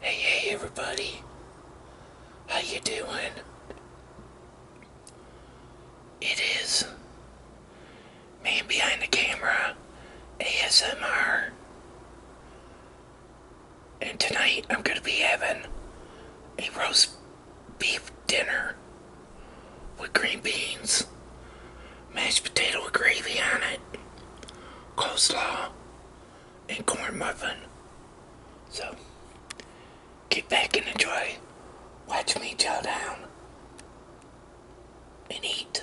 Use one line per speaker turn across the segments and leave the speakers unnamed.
Hey, hey, everybody. How you doing? It is man behind the camera, ASMR. And tonight I'm going to be having a roast beef dinner with green beans mashed potato with gravy on it, coleslaw, and corn muffin. So, get back and enjoy. Watch me chow down and eat.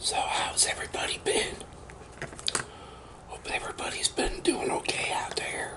So, how's everybody been? Hope everybody's been doing okay out there.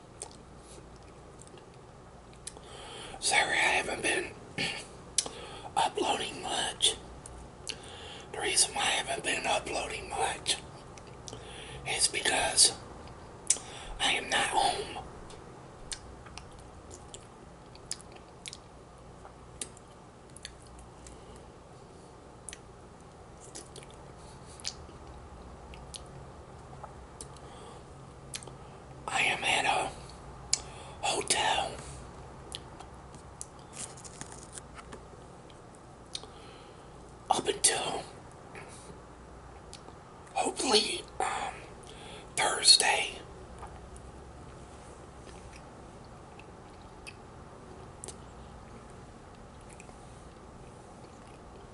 Sorry, I haven't been uploading much. The reason why I haven't been uploading much is because I am not home. I am at a hotel. Up until hopefully um, Thursday.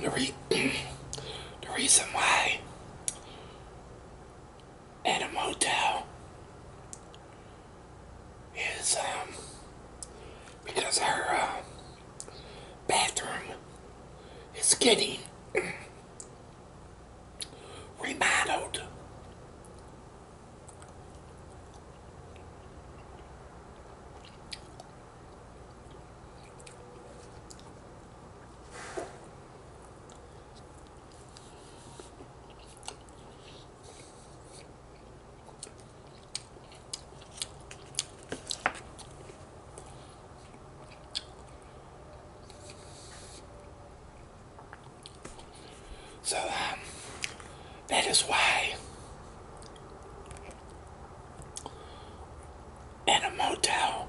the, re the reason why at a motel is um, because her uh, bathroom is getting remodeled. So um, that is why in a motel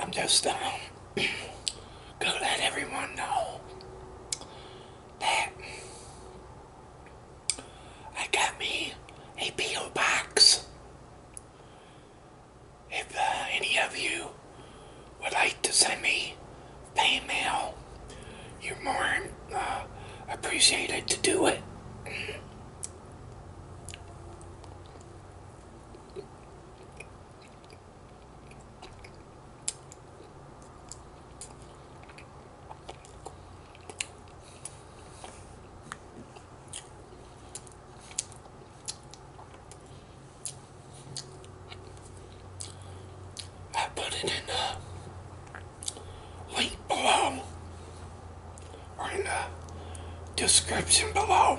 I'm just um, gonna let everyone know that I got me a P.O. box. If uh, any of you would like to send me email, you're more uh, appreciated to do it. I put it in the uh, Link below or in the description below.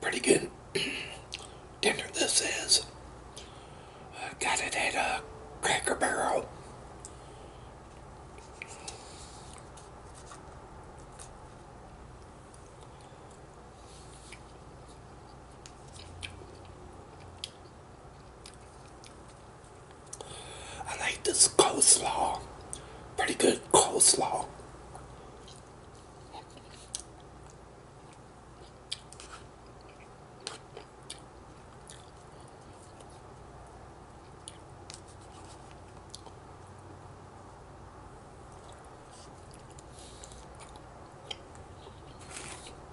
Pretty good dinner this is. Uh, got it at a Cracker Barrel. I like this coleslaw. Pretty good coleslaw.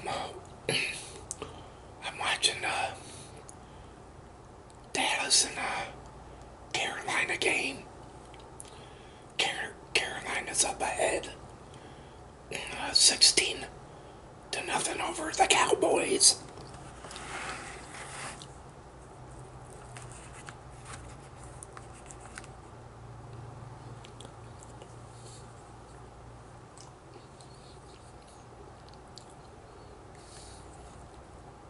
I'm, I'm watching uh, Dallas and uh, Carolina game. Car Carolina's up ahead, uh, 16 to nothing over the Cowboys.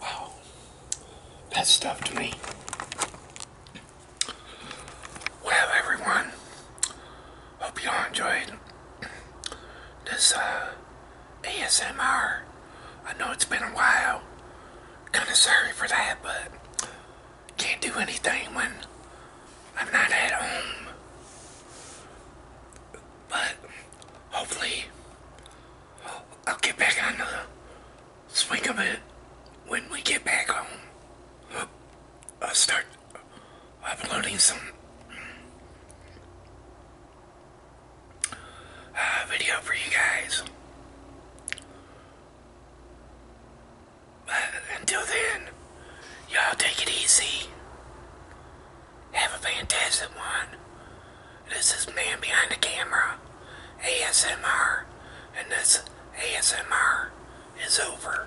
Wow, that's stuff to me. Well, everyone, Hope you all enjoyed this uh, ASMR. I know it's been a while. Kind of sorry for that, but can't do anything when I'm not at home. But hopefully I'll get back on the swing of it when we get back home. i start uploading some uh, video for you guys. But uh, until then, y'all take it easy. Have a fantastic one. This is Man Behind the Camera, ASMR, and this ASMR is over.